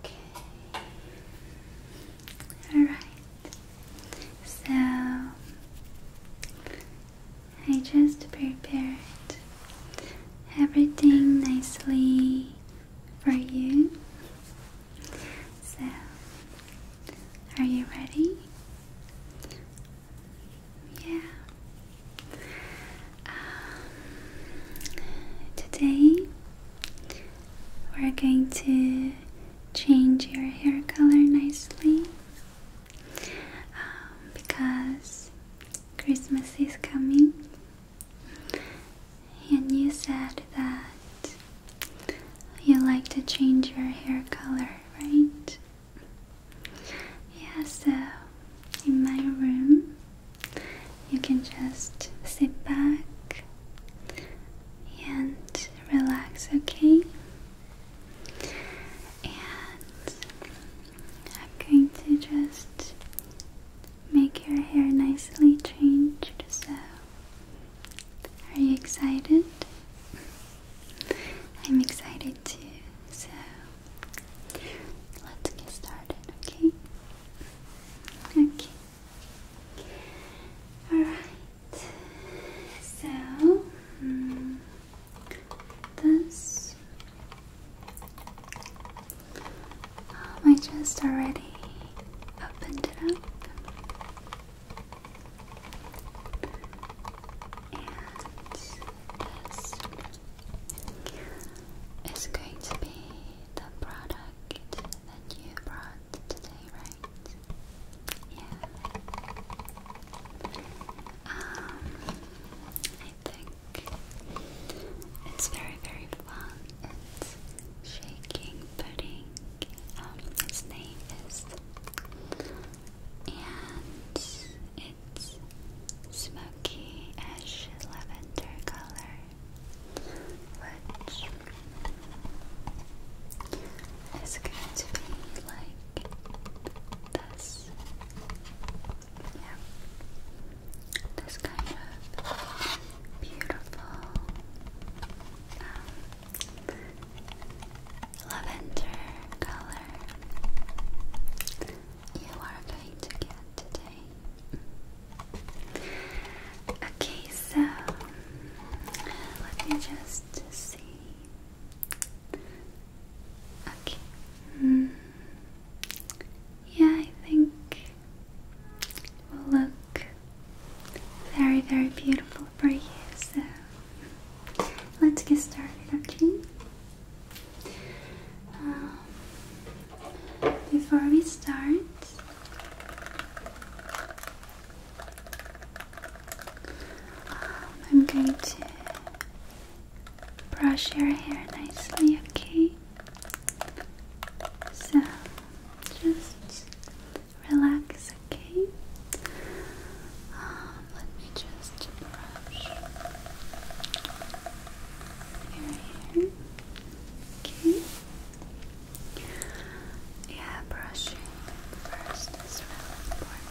Okay. All right. So I just prepared everything nicely for you. So, are you ready? Yeah. Um, today we're going to change your hair color nicely um, because Christmas is coming, and you said that you like to change your hair color, right? Yeah, so in my room you can just sit back and relax, okay? And I'm going to just make your hair nicely changed. So, are you excited? I'm excited too. So, Let's get started, okay? Okay. Alright. So, hmm, this. Oh, I just already opened it up. And it's going to be the product that you brought today, right? Yeah. Um, I think it's very, very fun. It's shaking pudding. Um, its name is, and Lights Smoky Ash Lavender color, which is going to be like this. Yeah, this kind of beautiful um, lavender color you are going to get today. Okay, so let me just see. Okay. Hmm. Yeah, I think will look very, very beautiful for you. So let's get started, okay? Um, before we start, I'm going to brush your hair nicely, okay? So just relax, okay? Um, let me just yeah, brushing first is really important.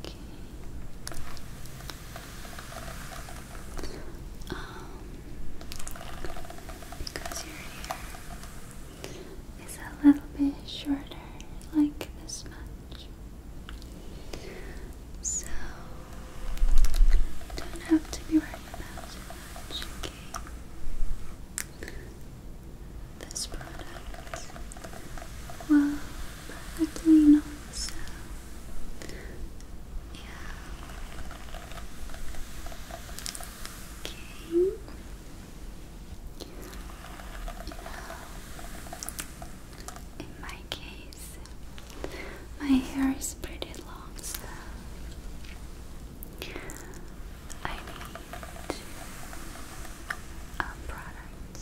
Okay. Um, because your hair is a little bit shorter, like this much. So, don't have to be worried about too much, okay? This product will perfectly know so. Yeah. In my case, my hair is pretty long, so I need a product.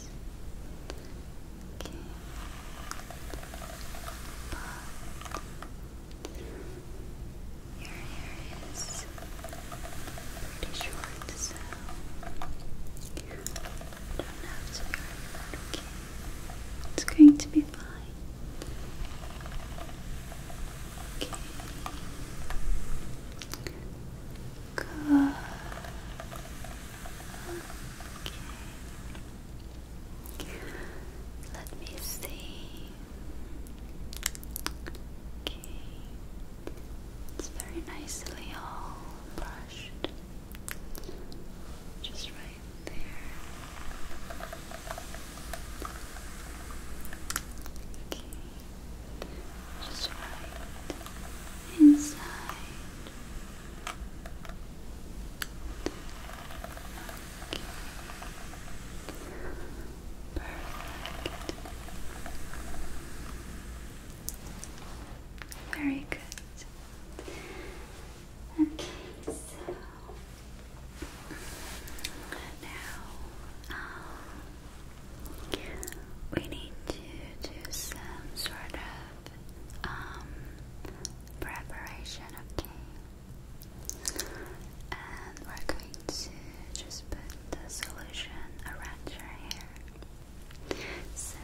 Your hair is pretty short, so you don't have to worry okay? It's going to be fine. Okay. Good. Okay. Let me see. Okay. It's very nicely all brushed. Just right there. Okay. Just right inside. Okay. Perfect. Very good. Okay, so now um, we need to do some sort of um, preparation, okay? And we're going to just put the solution around your hair. So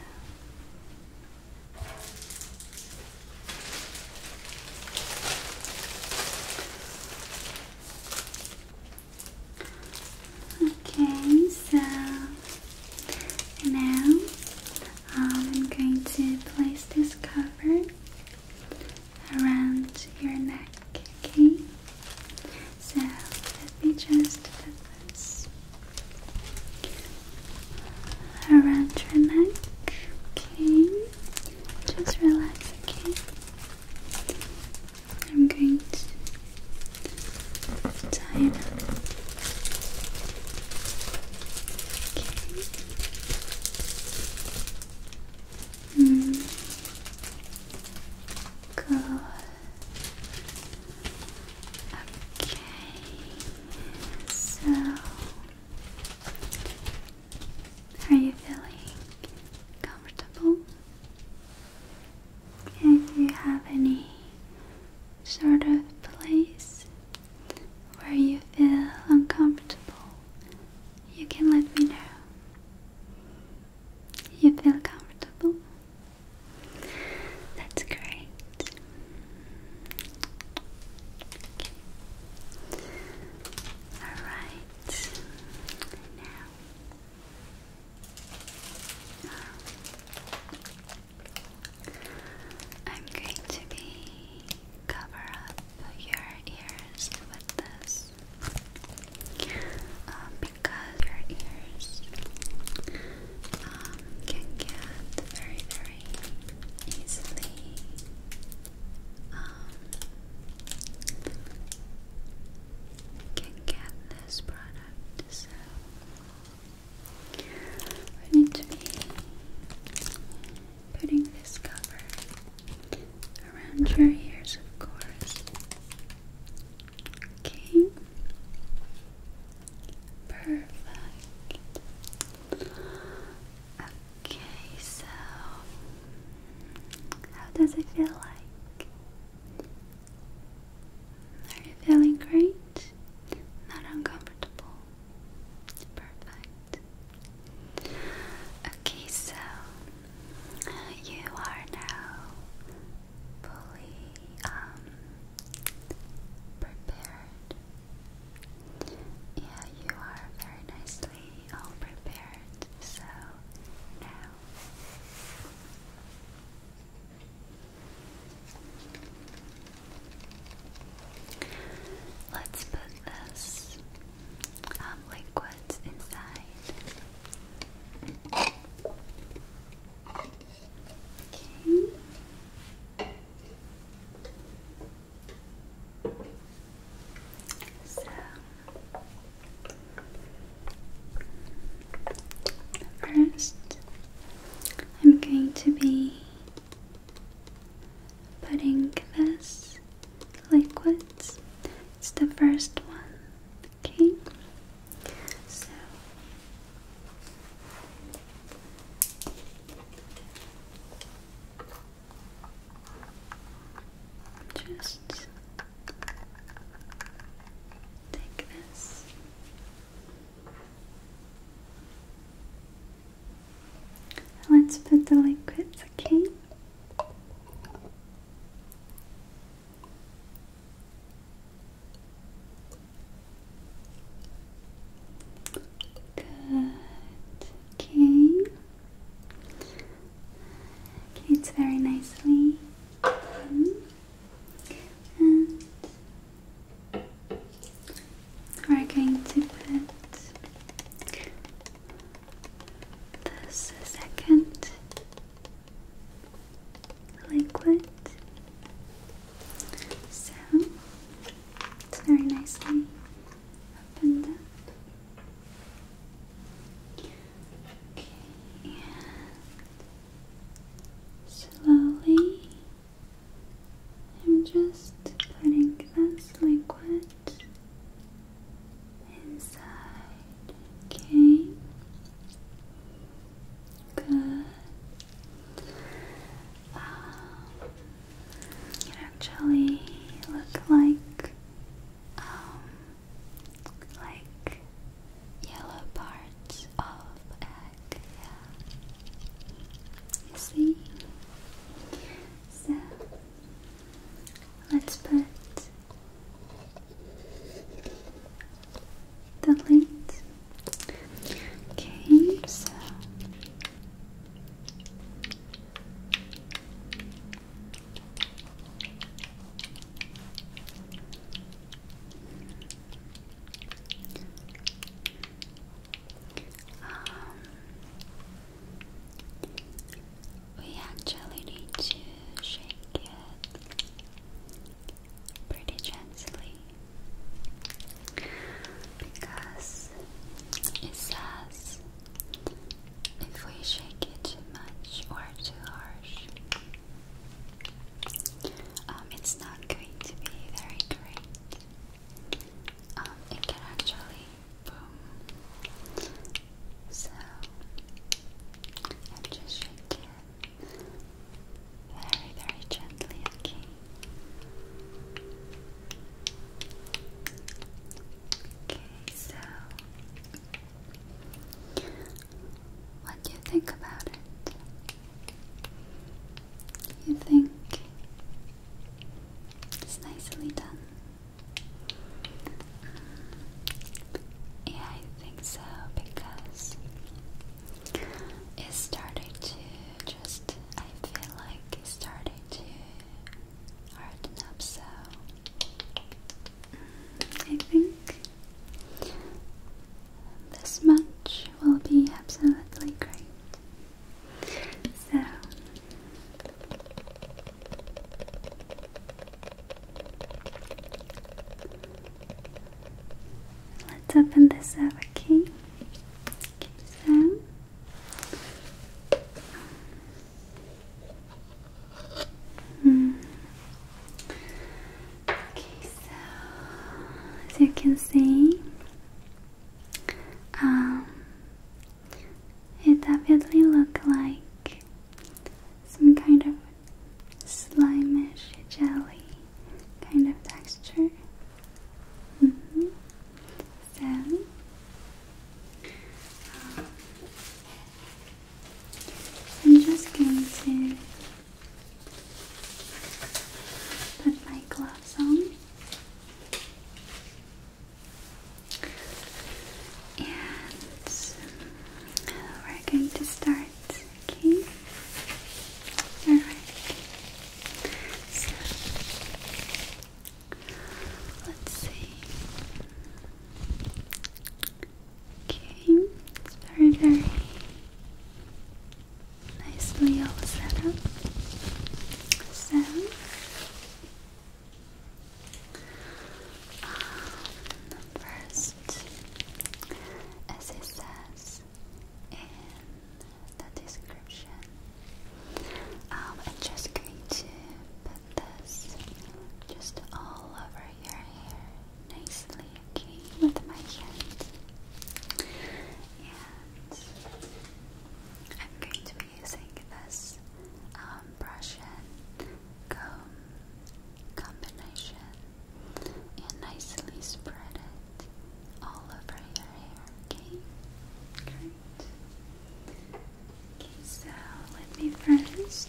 Okay, so now um, I'm going to place this cover around your neck, okay? So let me just do around your neck. Okay, just relax. Okay, I'm going to tie it Okay. Mm. Good. Okay. So, are you feeling comfortable? And you have any sort of place where you feel uncomfortable? You can let me know. You feel comfortable? That's great. Alright. Now. Um, I'm going to be cover up your ears with this ears um, because your ears um, can get very, very easily um, can get this product. So we need to be putting this cover around your ears, of course. Okay. Perfect. Okay, so how does it feel like? Are you feeling great? Not uncomfortable? Perfect. Okay, so you are now fully um, prepared. Yeah, you are very nicely all prepared. So now. Let's put this um, liquids inside. Okay. So, first, I'm going to be putting this liquids. It's the first one Okay, so just take this. Let's put the liquids, okay? Good. Okay. Okay, it's very nicely done. And we're going to put this second liquid. So it's very nicely opened up. Okay, and slowly I'm just putting this liquid inside. Okay. Good. it actually looked like um like yellow parts of egg. You see? So Let's put the lights. Okay, so we actually need to shake it pretty gently because it says if we shake it too much or too harsh, um, it's not going to be very great. Um, it can actually boom so I'm just shaking it very, very gently, okay. Okay, so what do you think about it? You think it's nicely done? yeah, I think so because it started to just, I feel like it started to harden up, so mm, I think this much will be absolutely great. So. Let's open this up, okay? so. as you can see, um, it definitely looks like some kind of slimish jelly kind of texture. Mm I'm just going to put my gloves on. And we're going to start, okay? Alright. let's see. Okay, it's very, very nicely all set up. So, um, first, as it says in the description, um, I'm just going to put this just all over your hair nicely, okay, with my hand. And I'm going to be using this um, brush and comb combination and nicely spread it all over your hair, okay? Great. Okay, so let me first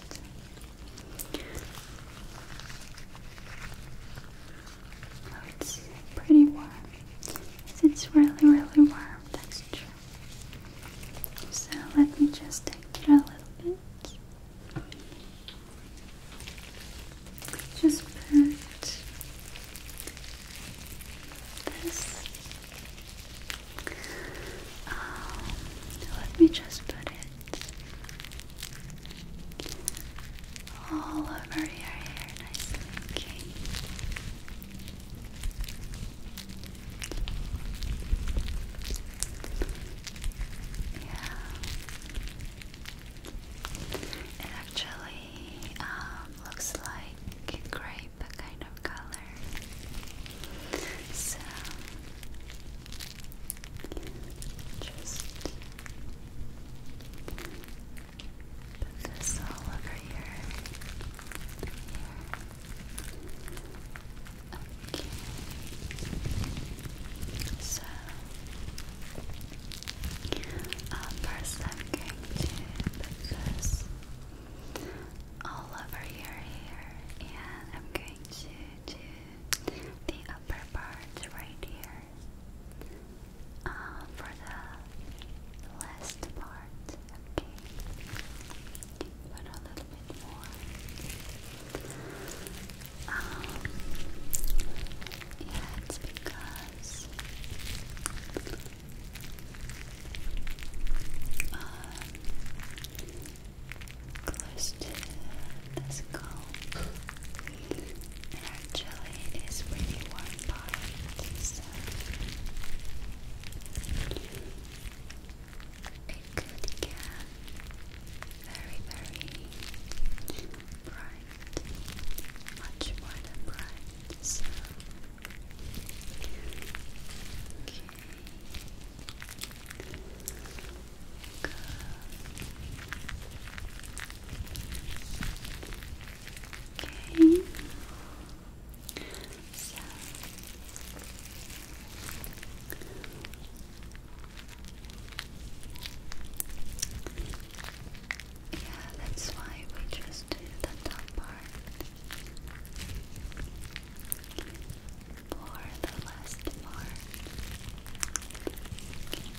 Oh, it's pretty warm. It's really, really warm That's true. So let me just take it a little bit. Just put this. Um, let me just put it all over your hair nicely, okay? Yeah. It actually um, looks like grape kind of color. So just put this all over here. Okay. So, first I'm going to put all over your and I'm going to do the upper part right here. Uh, for the last part, okay but a little bit more. Um, yeah, it's because um, close to the skull, and actually is really warm part, it could get very, very bright, much more than bright. okay, Okay yeah, that's why we just do the top part for the last part. Okay.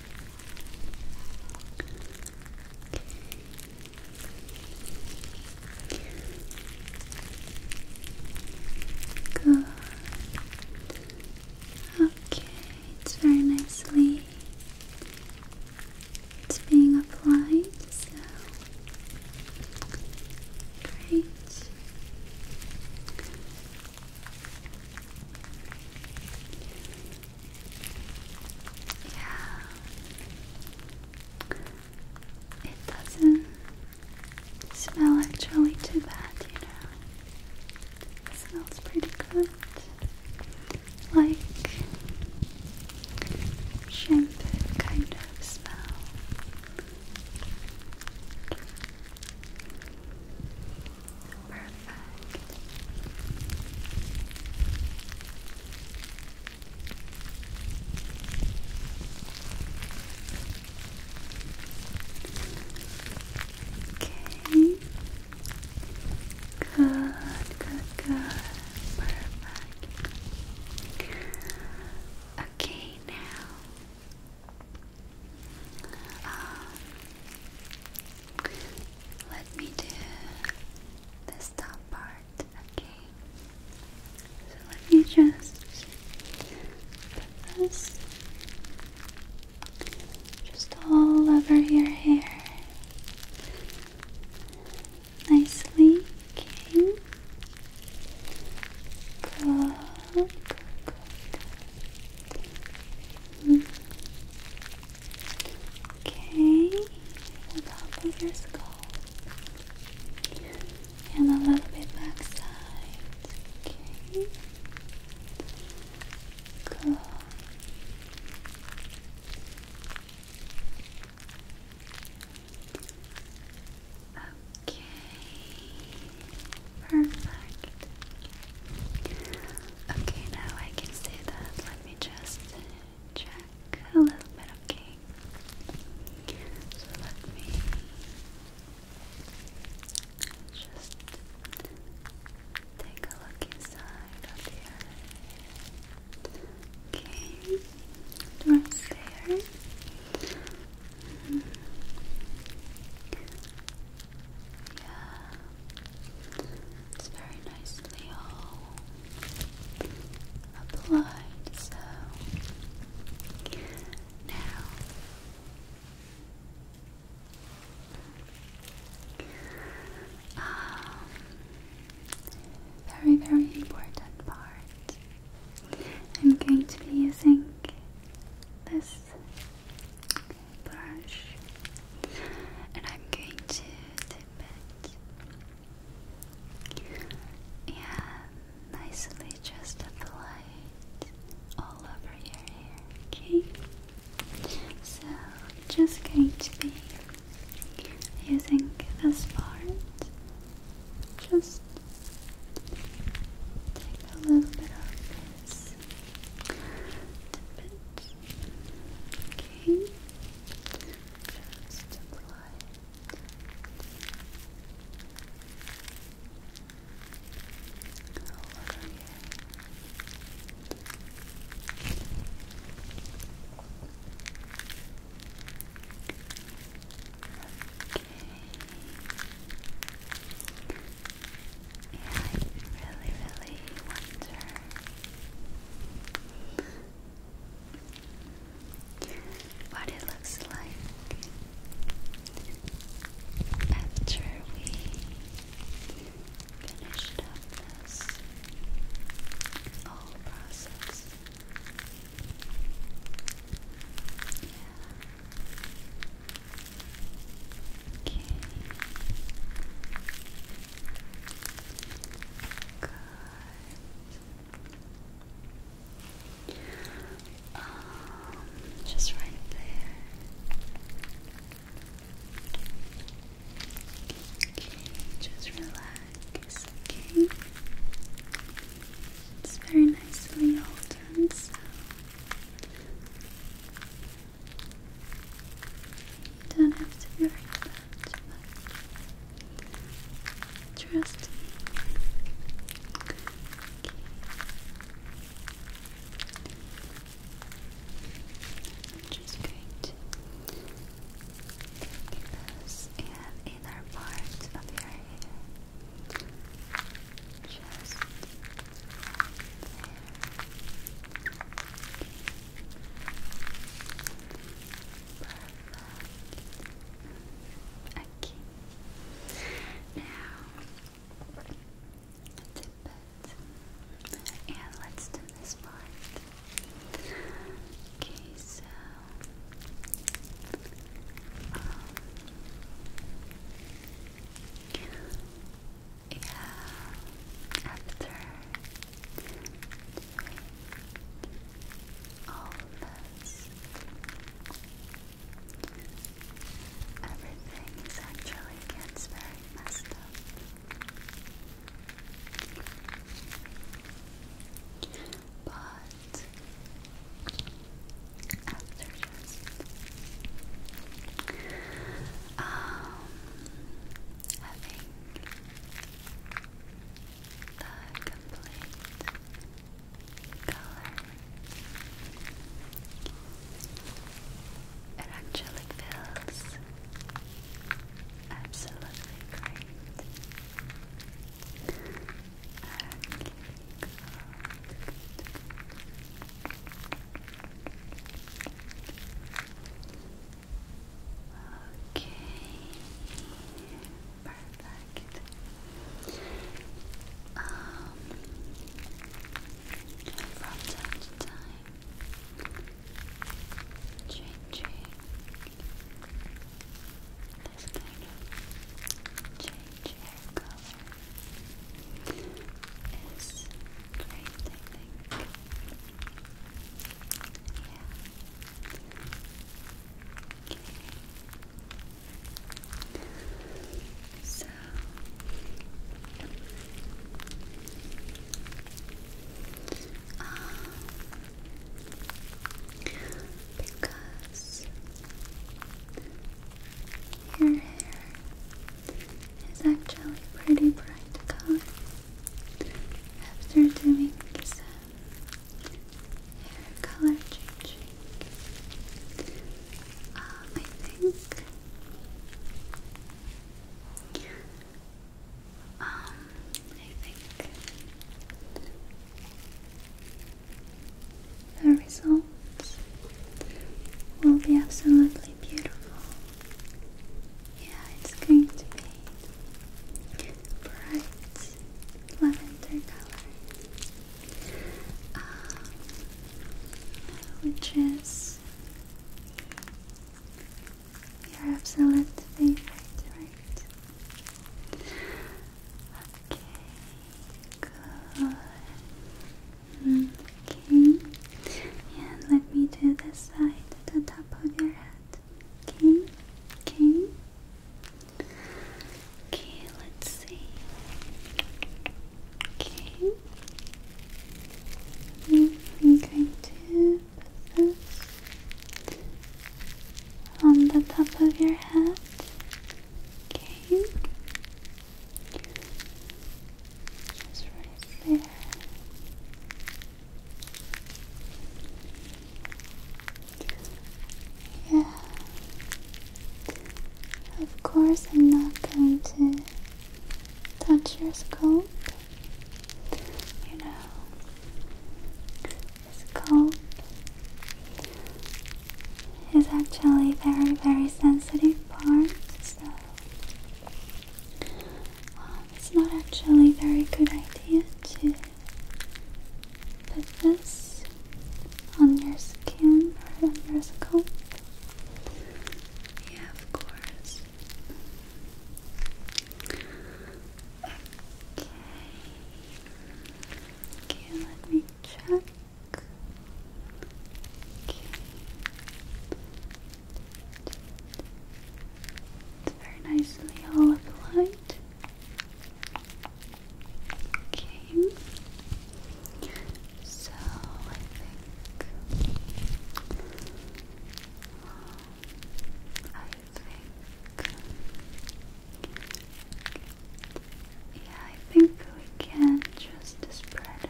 Good. Okay, it's very nicely it's being applied, so great. Yeah. It doesn't smell actually too bad, you know. smells pretty good. Like shampoo kind of smell. Perfect. Okay. Good, good, good. Perfect. Okay, now. Um, let me do this top part, okay? So let me just put this just all over your hair. Nicely, okay. Good, good, mm. Okay, the top of your skull and a little bit backside. Okay. Good. Okay. Perfect. Okay, now I can see that. Let me just check a little bit. Okay. So let me just take a look inside of here. Okay, doors there. Mm Yeah, it's very nicely all applied. So now. Um, very, very important part. I'm going to be using this brush and I'm going to dip it. And nicely just apply it all over your hair, okay? So, just going to be using this part. Just take a little bit of this. Dip it. Okay. Just apply I really, really wonder what it looks like after we finished up this whole process. Okay. Good. Um, just right there. Okay, just relax. it's very nicely all done. So you don't have to worry about too Trust me. just going to take this and inner part of your hair. Just Perfect. Okay. Now, dip it. And let's do this part. Okay, so. Um, yeah, after all of this. Everything is actually gets messed up. But after just um having the complete color. It actually feels absolutely great. Okay, Perfect. Um, from time to time, changing this kind of change hair color is great, I Yeah. Okay. So um, because your hair is actually pretty bright color after doing some hair color changing. Um, I think um, I think the results will be absolutely beautiful. Yeah, it's going to be bright lavender color, um, which is your absolute favorite, right? Okay, good. okay, and let me do this side, the top of your head. Okay, okay. Okay, let's see. Okay. I'm going to put this on the top of your head. Okay. Just right there. Yeah. Of course, I'm not going to touch your scalp. You know, scalp is actually very, very sensitive part, so um, it's not actually very good idea to Put this on your skin or on your scalp. Yeah, of course. Okay. Okay, let me check. Okay. It's very nicely all applied. Okay. So I think I think yeah, I think we can just spread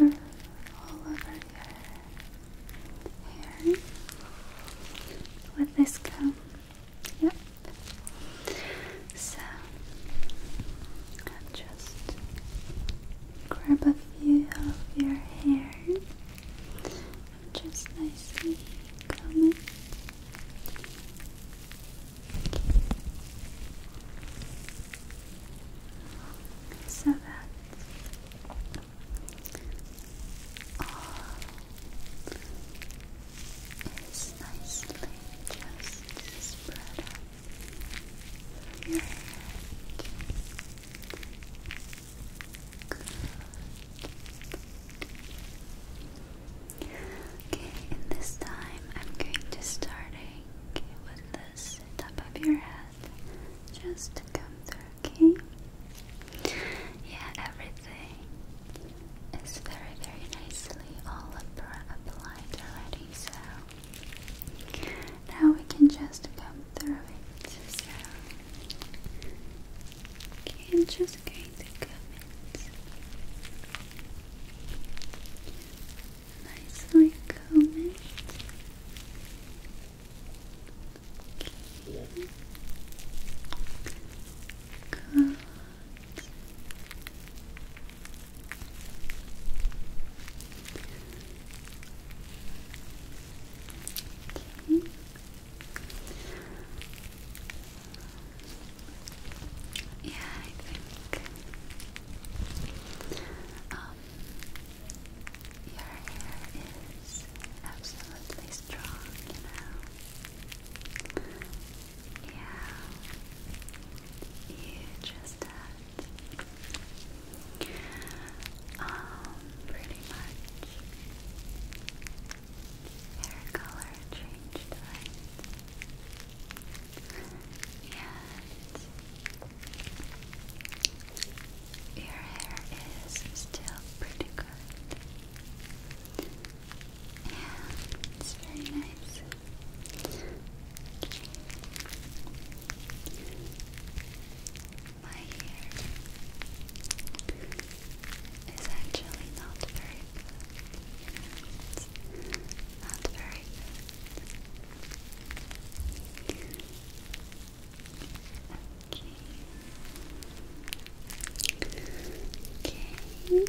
it all over your hair with this comb. Yep. So I'll just grab a few of your hair and just nicely comb it. So that all is nicely just spread out through your head. Okay, and this time I'm going to starting with this top of your head just to come through, okay? Yeah, everything is very, very nicely all applied already. So now we can just come through it. So just going to come it nicely comb it Okay. Good. Yeah, I um, your hair is absolutely strong, you know. Yeah, you just had um pretty much hair color changed, right? your hair is still pretty good. Yeah, it's very nice. My hair is actually not very good. It's not very good. Okay. Good. Good. Good. Okay.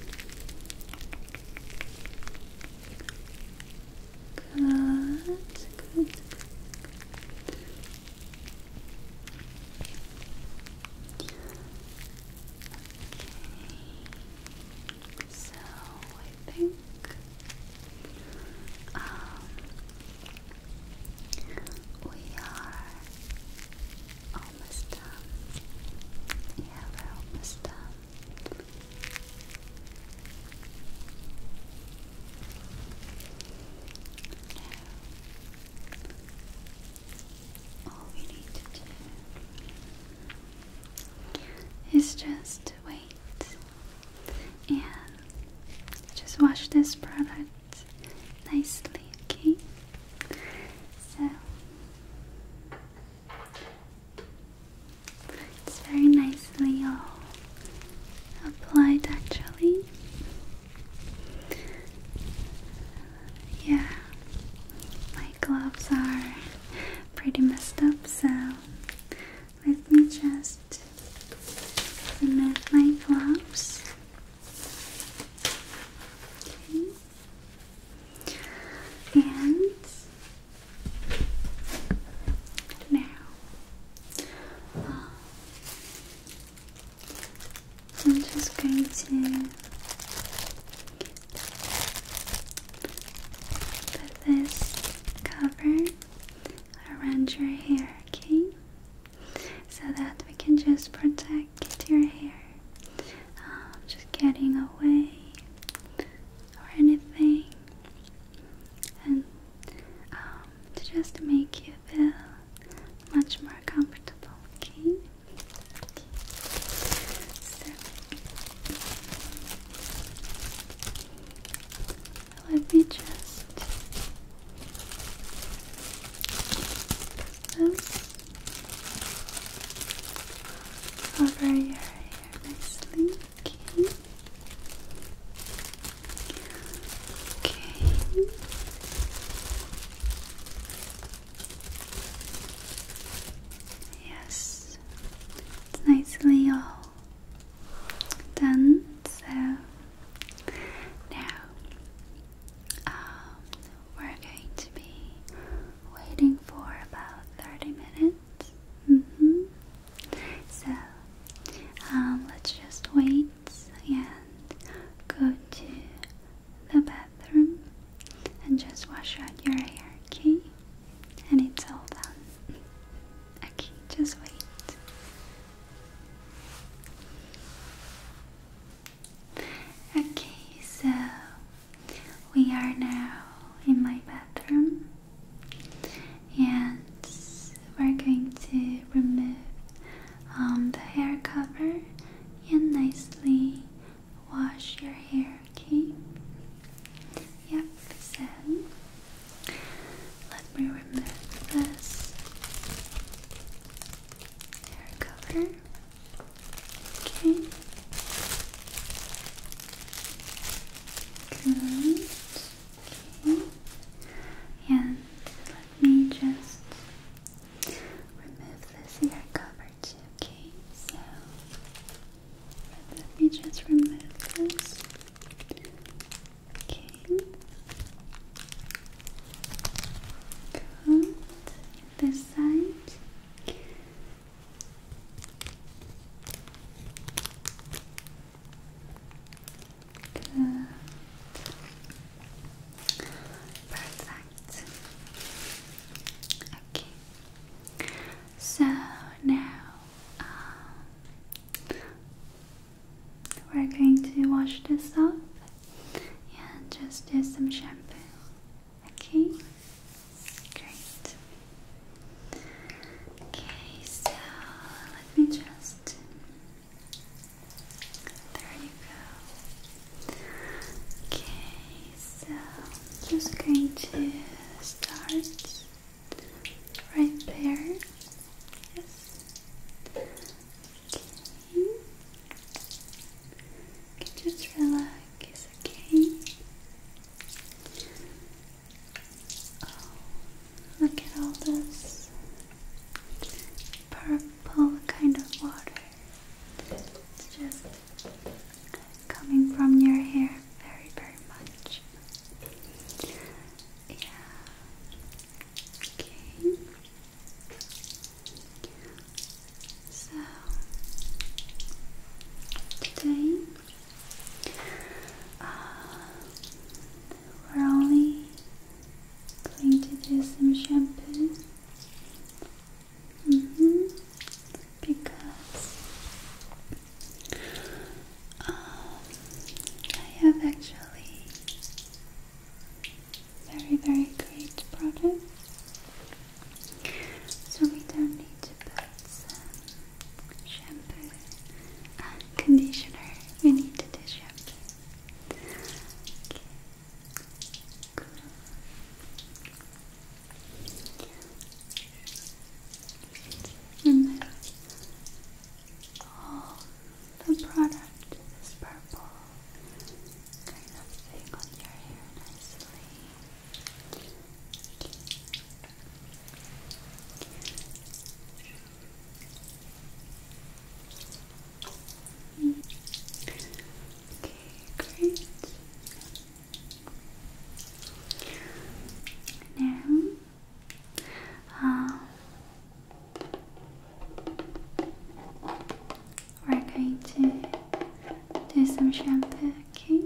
So I think we are almost done. Yeah, we're almost done. all we need to do is just wait and just watch this product nicely, okay? So it's very nicely all applied actually. Yeah, my gloves are pretty messed up, so let me just remove my gloves. Okay. And now, um, I'm just going to put this cover around your hair, okay? so that we can just protect your hair. Um, just getting away or anything, and um, to just make you feel much more comfortable. Okay. So, let me just over your hair Okay. Yes, it's nicely all done. So now um, we're going to be waiting for about 30 minutes. Mm-hmm. So, um, let's just wait and go to the bathroom and just wash out your hair, okay? And it's all done. Okay, just wait. Okay, so we are now in my bathroom and we're going to remove um, the hair cover and nicely wash your hair, okay? Yep, so let me remove this hair color. Okay. Good. Okay. And let me just remove this ear cover Okay. So let me just remove this. Okay. Good. This side. Good. Perfect. Okay. So now um, we're going to wash this up. and just do some shampoo. Okay? Great. Okay, so let me just. There you go. Okay, so just going to start right there. Yes. Okay. just relax, okay? Oh, look at all this purple kind of water. It's just coming from your hair very, very much. Yeah, Okay. So today we're only going to do some shampoo. -hmm. Because um, I have actually very, very great product. So we don't need to put some shampoo and conditioner. We need to do shampoo all the product is purple kind of thing on your hair nicely. Okay, great. Now, um, we're going to do some shampoo, okay?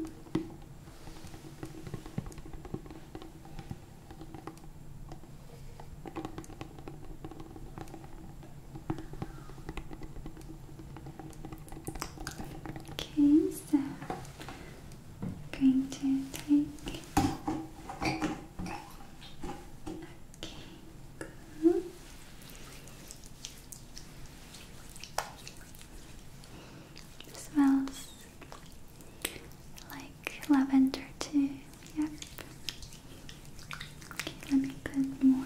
Okay, so I'm going to take Okay, good. It smells like lavender too. Yep. let me put more.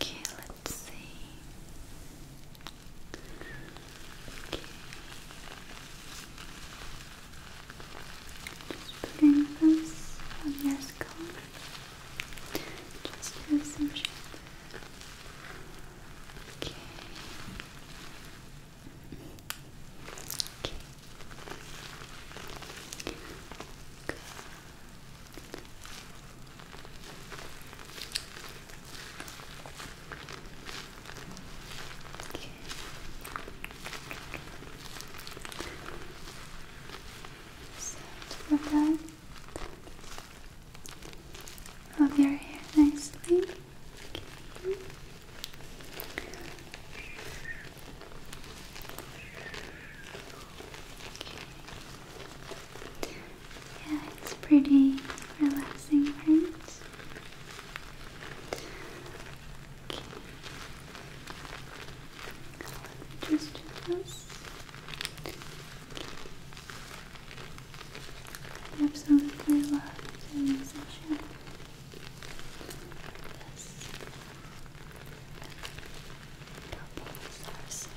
Okay, let's Okay. Just putting those on your skull. Just do some Okay. Okay. So to the of your hair nicely. Yeah, it's pretty relaxing, right? just do absolutely love doing session. This couples are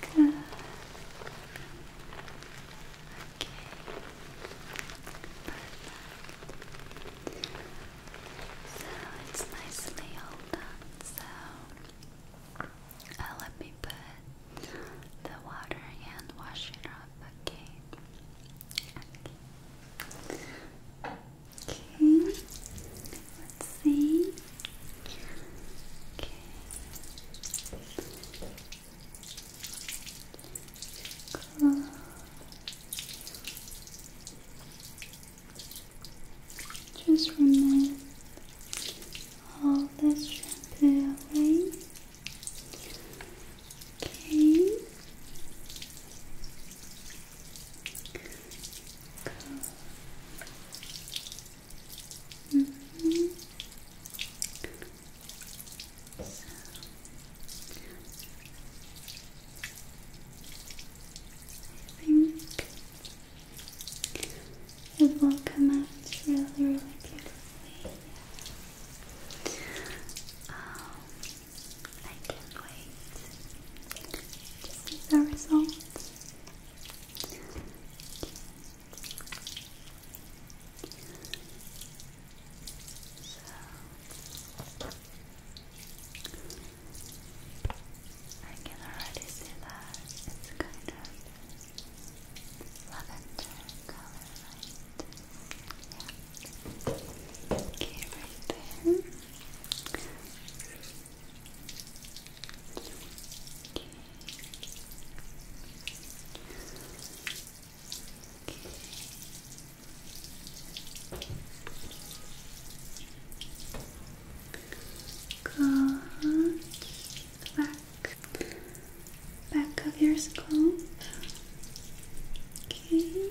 Good. Okay. Perfect. So it's nicely all done. So let me put the water and wash it up. Okay. Okay. Okay, let's see. Okay. Just remove all the shampoo away. Okay so. I think it will come out really, really beautifully. Um, I can't wait to see the results. So I can already see that it's kind of lavender color, Okay, right there. Good. Back, back of your scalp. Okay.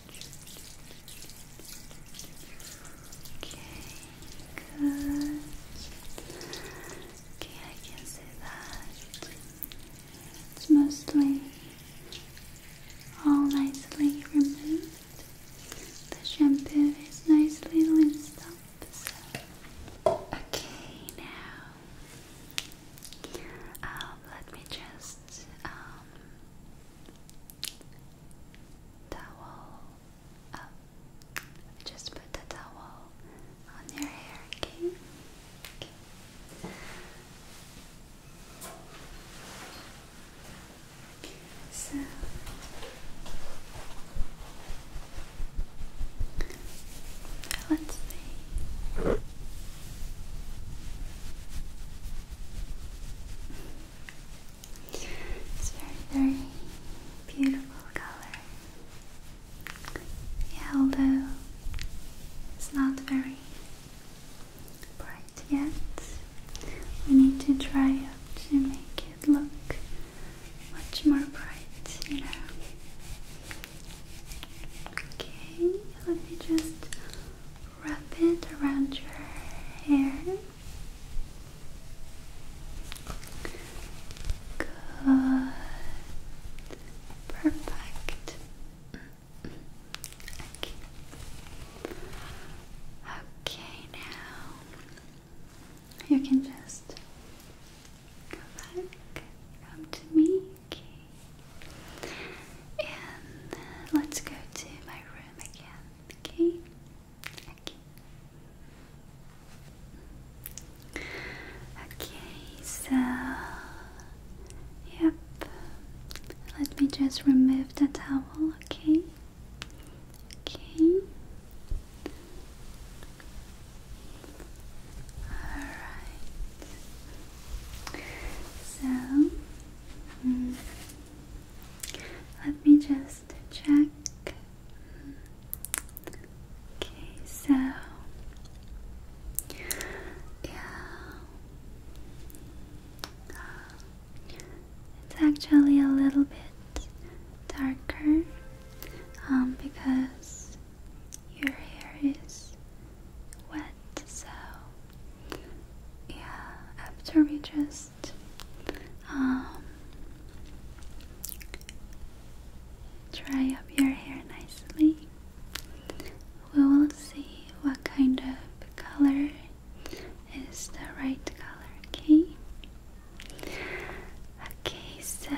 Okay, good. I can see that. It's mostly all nicely removed. The shampoo is nicely rinsed up. So. Okay, now let me just towel Just put the towel on your hair, okay? okay. So let's see. It's very, very beautiful color. Yellow. although it's not very bright yet, we need to try it to make it look much more bright, you know. Okay, let me just wrap it around your hair. Good. Perfect. Okay. now you can just go back, come to me, And let's go to my room again. Okay, okay. Okay, so yep. Let me just remove the towel, okay? Okay. Alright. So mm, let me just check. Okay, so yeah, it's actually a little bit darker um, because your hair is wet, so yeah, after we just um, dry up your hair nicely, we will see what kind of color is the right color, okay? Okay, so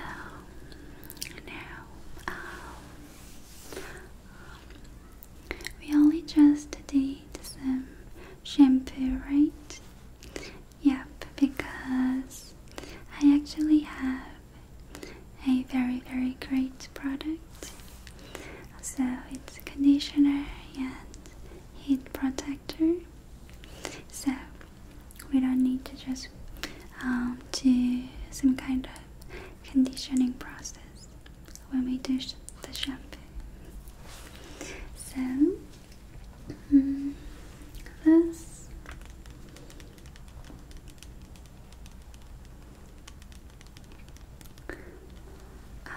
now um, we only just did some shampoo, right? Yep, because I actually have a very, very great product. So it's conditioner and heat protector. So we don't need to just um, do some kind of conditioning process when we do the shampoo. So mm, this um,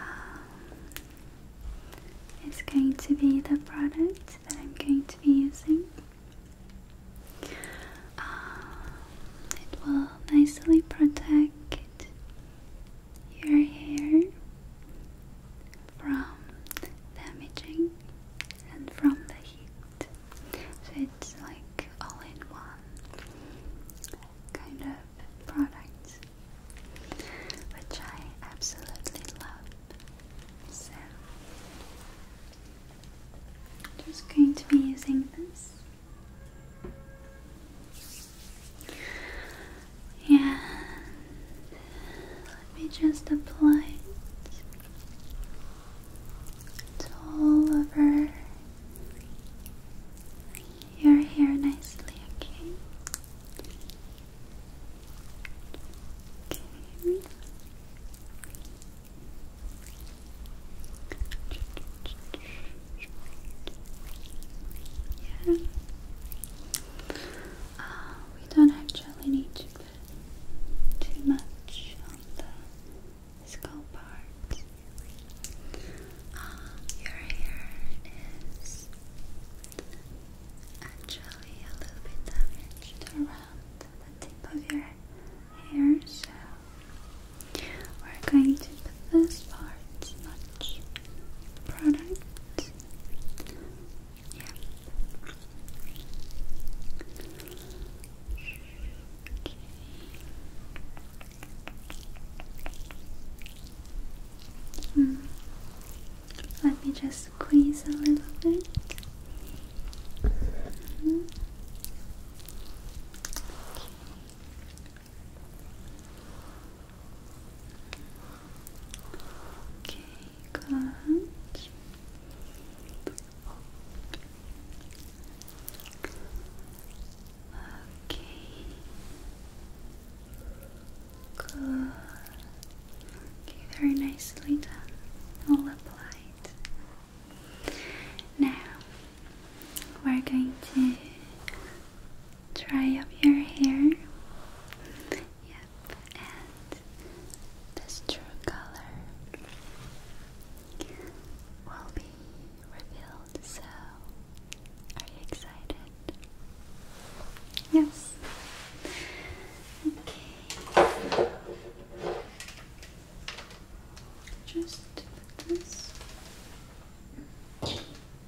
is going to be the product that I'm going to be using. Um, it will nicely protect your hair from damaging and from the heat. So it's like all in one kind of product, which I absolutely love. So, just going to be using this. Yeah. Let me just apply it. It's all over your hair nicely, yeah. Uh, we don't actually need to put too much on the skull part. Uh, your hair is actually a little bit damaged around the tip of your hair, so we're going to put this part, match product. Yeah. Hmm. Let me just squeeze a little bit. Hmm. Okay, good. Okay. Good. Okay, very nicely done. All applied. Now we're going to dry up your hair. Yep, and this true color will be revealed. So, are you excited? Yes. Okay. Just put this.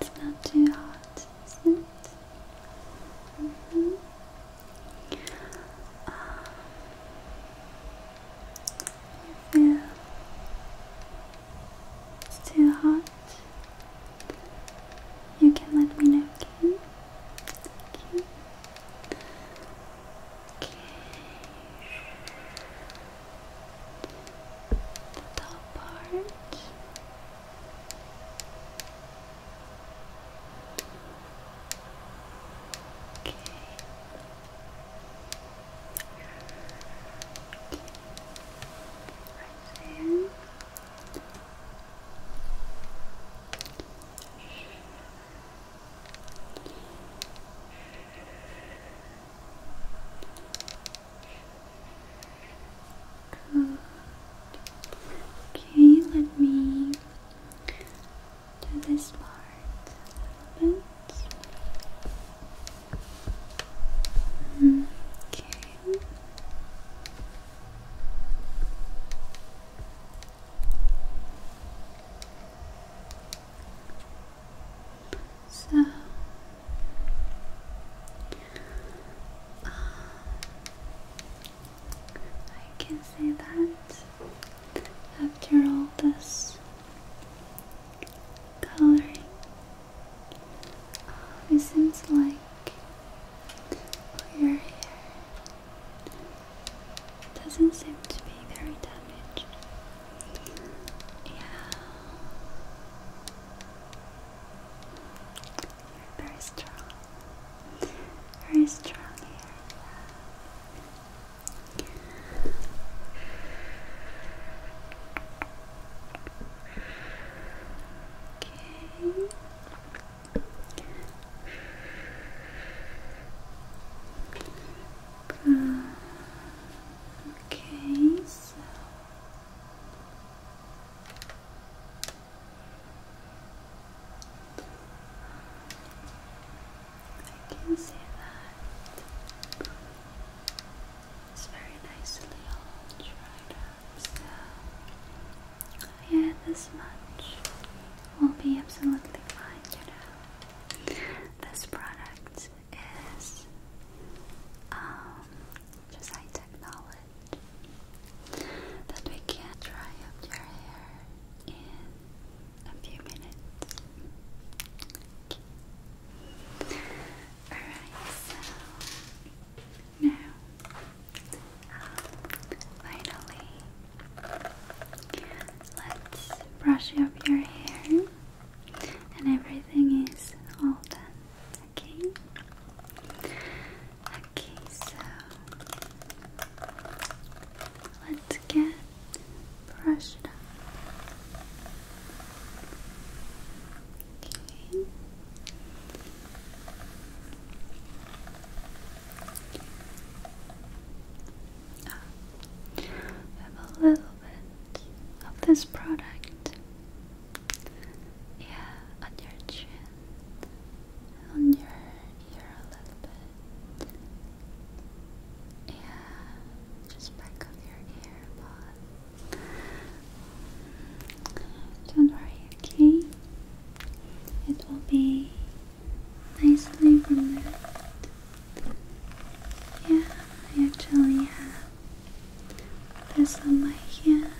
It's not too hot, is it? Mm it's too hot. You can let me know, Okay the top part okay right there Okay. Okay, let me do this part Okay. So, I can say that after all this coloring, it seems like your hair doesn't seem to be very damaged. Yeah. you very strong. Very strong Yeah. Okay. Good. Okay, so I can see that it's very nicely all dried up. So yeah, this much will be absolutely fine. You know, this product is um, just high that we can dry up your hair in a few minutes. Alright, so now finally let's brush up your hair and everything is all done. Okay. Okay, so let's get brushed up. Okay. I ah. have a little of this product. Yeah, on your chin, on your ear a little bit. Yeah, just back of your ear, but don't worry, okay? It will be nicely removed yeah, I actually have this on my hand,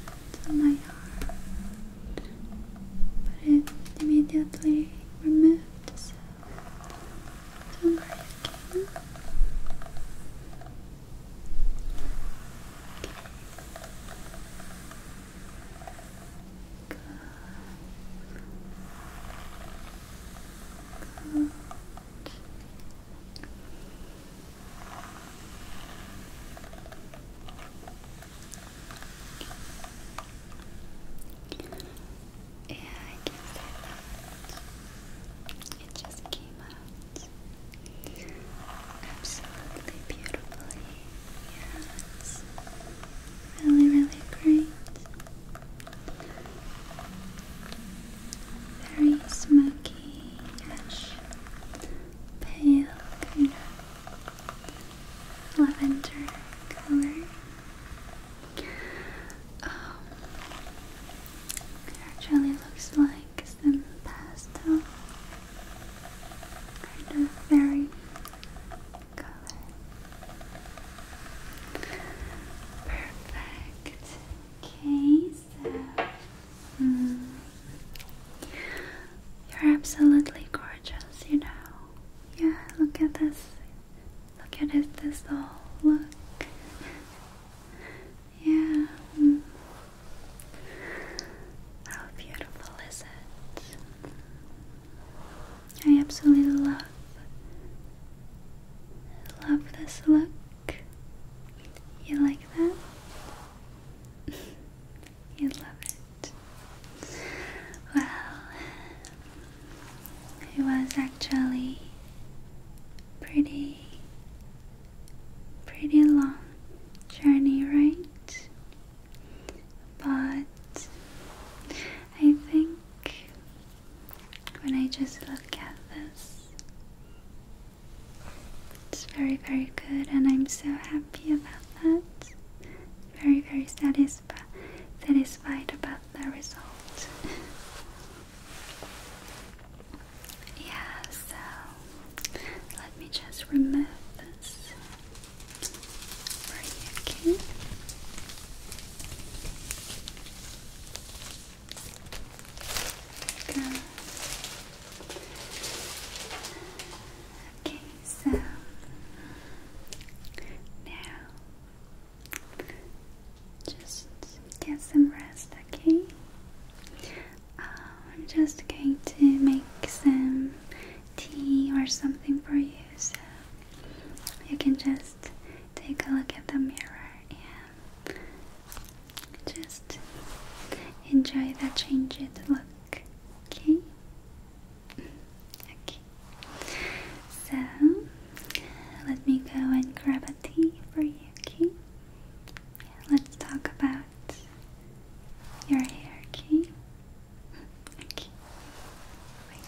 on my arm, but it immediately removed, so don't worry okay? Yeah, I can say that. It just came out absolutely beautifully. Yes. Really, really great very smoky, ash, pale kind of lavender color. Um, actually looks like some pastel, kind of very color. Perfect. Okay, so uh, hmm. you're absolutely gorgeous, you know. Yeah, look at this. Look at it, this all. Look. Yeah. Hmm. How beautiful is it? I absolutely love Love this look. You like that? you love it. Well, it was actually pretty pretty long journey, right? But I think when I just look at this. It's very, very good, and I'm so happy about that. Very, very satisfied, satisfied about the result. yeah, so let me just remove this for you, okay? Okay, so now just get some rest, okay? Um, I'm just going to make some tea or something for you so you can just take a look at the mirror and just enjoy the changed look. Okay? Okay. So let me go and grab a tea for you, okay? Let's talk about your hair, okay? Okay. Wait.